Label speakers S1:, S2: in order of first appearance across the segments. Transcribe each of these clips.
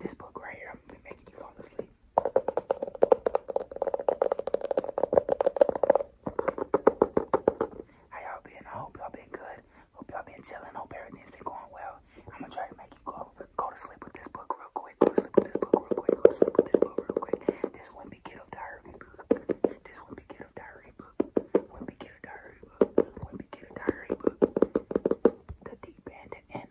S1: this book right here, I'm making you fall asleep. How y'all been? I hope y'all been good. Hope y'all been chilling. Hope everything's been going well. I'm gonna try to make you go go to sleep with this book real quick. Go to sleep with this book real quick. Go to sleep with this book real quick. This one be get diary book. This one be get diary book. One be get diary book. One be get diary book. The deep end and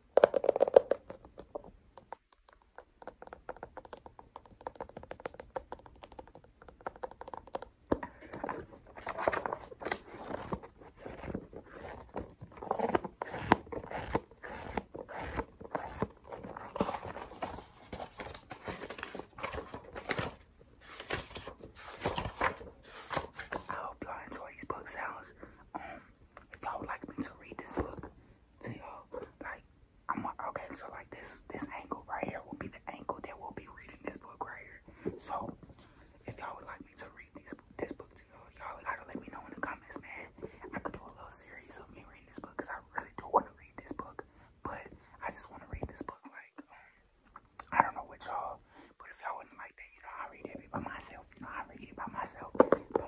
S1: I hope y'all enjoy these book sounds if y'all would like me to read this book to you like, I'm okay. So like this, this angle right here will be the angle that will be reading this book right here. So if y'all would like me to read this this book to you y'all gotta let me know in the comments, man. I could do a little series of me reading this book because I really do want to read this book, but I just want to read this book like. Um, I don't know what y'all but if y'all wouldn't like that, you know, I read it by myself. You know, I read it by myself. By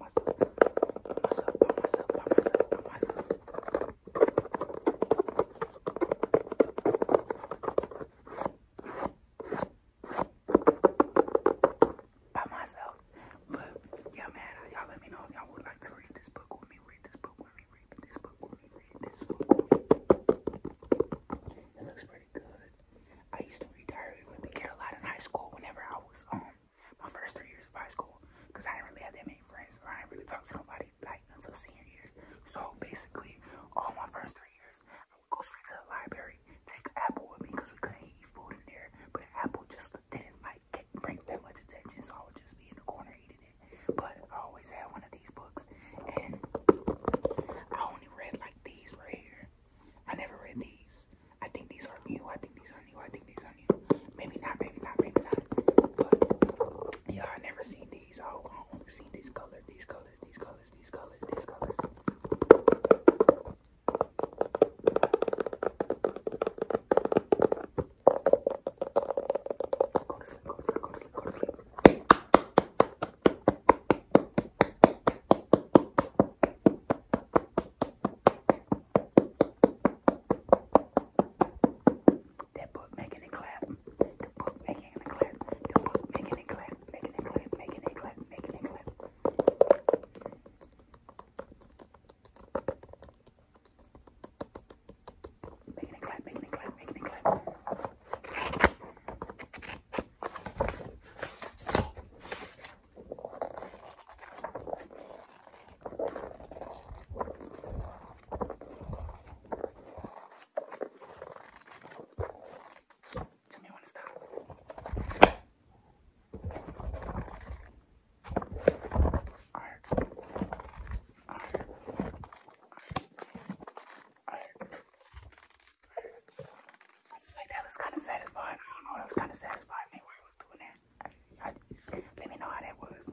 S1: myself, by myself, by myself, by myself, by myself, by myself, by myself, by myself. By myself. But yeah, man, y'all let me know if y'all would like to read this book with me, read this book with me, read this book with me, read this book with me. It looks pretty good. I used to read diary with the kid a lot in high school whenever I was um my first three years of high school because I didn't really have that many friends or I didn't really talk to nobody like until senior year. So basically all my first three years I would go straight to the library, take an apple with me because we couldn't eat food in there, but an apple just didn't like get, bring that much attention so I would just be in the corner eating it. But I always had one of these books and I only read like like these right here. I never read these. I think these are new. I think these are new. I think these are new. Maybe not, maybe not, maybe not. But yeah, I never seen these. Oh, I only seen this color, these colors, these colors, these colors, these colors. Go to sleep, go to sleep, go to sleep, go to sleep. That book making it clap. The book making it clap. The book making it clap. Making it clap. Making it clap. Making it clap. Making it clap. Making it clap. Making it clap. Tell me when to stop. Arr. Arr. Arr. I feel like that was kind of satisfying. I don't know, that was kind of satisfying let me know how that was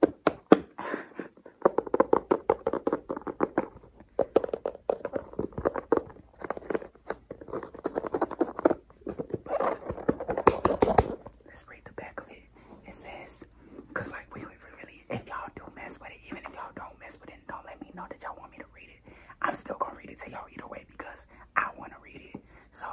S1: Let's read the back of it. It says, because like we, really, if y'all do mess with it, even if y'all don't mess with it, don't let me know that y'all want me to read it. I'm still gonna read it to y'all either way because I want to read it. So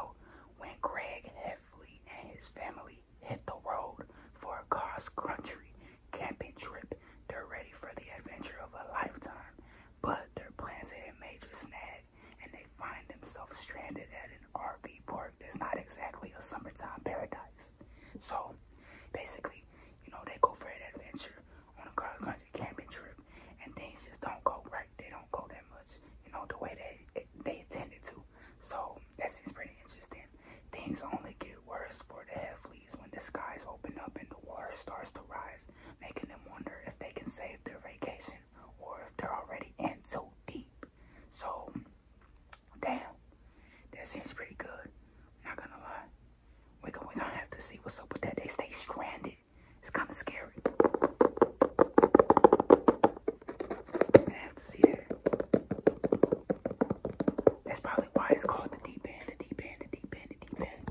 S1: when Greg and Heffley and his family hit the road for a cross-country camping trip. They're ready for the adventure of a lifetime, but their plans hit a major snag, and they find themselves stranded at an RV park that's not exactly a summertime paradise. So, basically, you know, they go for an adventure on a cross-country camping trip, and things just don't go right. They don't go that much, you know, the way they they intended to. So, that seems pretty interesting. Things only get worse for the Hefleys when the skies open up and the water starts to rise, making them wonder if they can save their vacation or if they're already in so deep. So, damn, that seems pretty good. not gonna lie. We're gonna, have to see what's up with that. They stay stranded. It's kind of scary have to see that. That's probably why it's called the deep end, the deep end, the deep end, the deep end.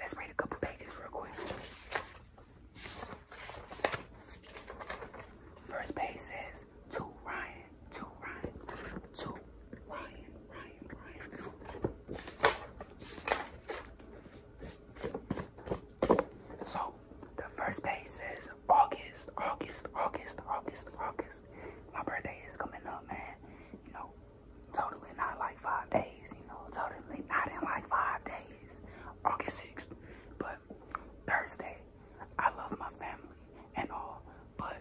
S1: Let's read a couple pages real quick. First page says to Ryan, to Ryan, to Ryan, Ryan, Ryan. So the first page says August, August, August, August, August. My birthday is coming up, man. You know, Totally not like five days, you know. Totally not in like five days. August 6th. But Thursday, I love my family and all, but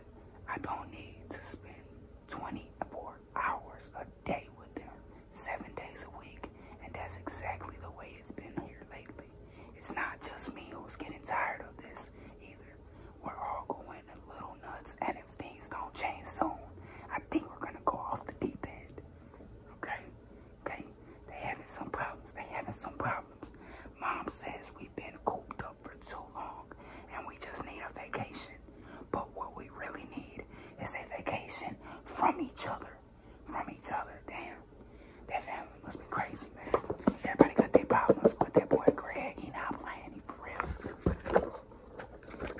S1: I don't need to spend 24 hours a day with them, seven days a week. And that's exactly the way it's been here lately. It's not just me who's getting tired of this either. We're all going a little nuts and things gonna change soon, I think we're gonna go off the deep end. Okay? Okay? They having some problems. They having some problems. Mom says we've been cooped up for too long and we just need a vacation. But what we really need is a vacation from each other. From each other. Damn. That family must be crazy, man. Everybody got their problems, but that boy Greg, he not playing. He for real.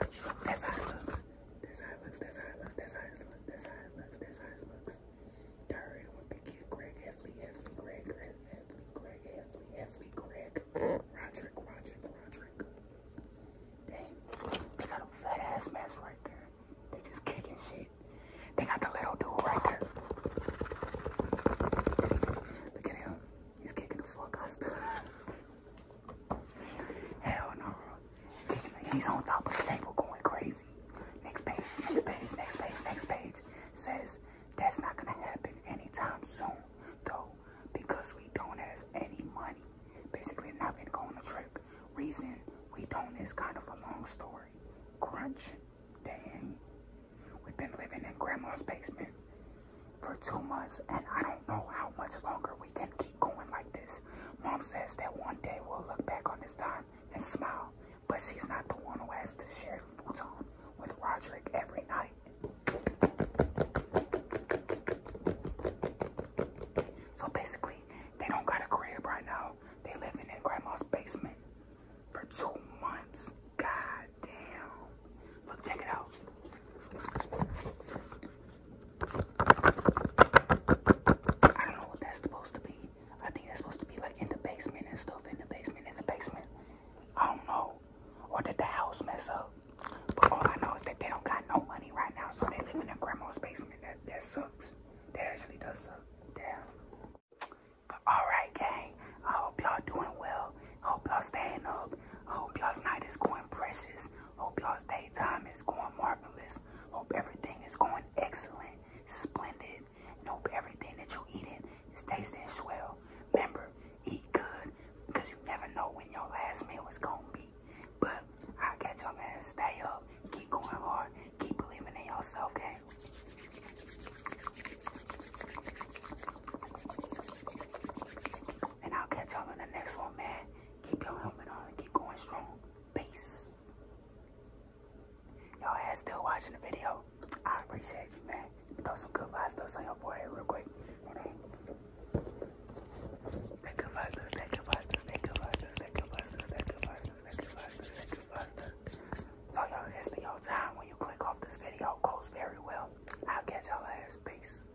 S1: That's how it looks looks. That's how it looks. That's how it looks. That's how it looks. That's how it looks. That's how it looks. Diary one big kid, Greg Heffley, Heffley, Greg, Greg, Heffley, Greg, Heffley, Heffley, Greg, Roderick, Roderick, Roderick. Dang, they got a fat ass mess right there. They just kicking shit. They got the little dude right there. Look at him. He's kicking the fuck out stuff. Hell no. He's on top of the table going crazy. Next page, next page, next page, next page. Says that's not gonna happen anytime soon, though, because we don't have any money. Basically, not gonna go on a trip. Reason we don't is kind of a long story. Crunch, dang. We've been living in grandma's basement for two months, and I don't know how much longer we can keep going like this. Mom says that one day we'll look back on this time and smile, but she's not the one who has to share the futon with Roderick every night. So basically, they don't got a crib right now. They live in grandma's basement for two months. God damn. Look, check it out. I don't know what that's supposed to be. I think that's supposed to be like in the basement and stuff. In the basement, in the basement. I don't know. Or did the house mess up? But all I know is that they don't got no money right now, so they live in their grandma's basement. That sucks. That actually does suck. Damn. alright gang. I hope y'all doing well. hope y'all staying up. I hope y'all's night is going precious. Hope y'all's time is going marvelous. Hope everything is going excellent, splendid, and hope everything that you eating is tasting swell. Remember, eat good because you never know when your last meal is gonna be. But I catch y'all, man. Stay up, keep going hard, keep believing in yourself, gang. And I'll catch y'all in the next one, man. Keep your helmet on. Keep going strong. Peace. Y'all ass still watching the video. I appreciate you, man. Throw some good vibes dust some your forehead real quick. Hold on. good vibes dust, that good vibes dust, that good vibes dust, that good vibes dust, that good vibes So y'all, it's the your time when you click off this video. Goes very well. I'll catch y'all ass. Peace.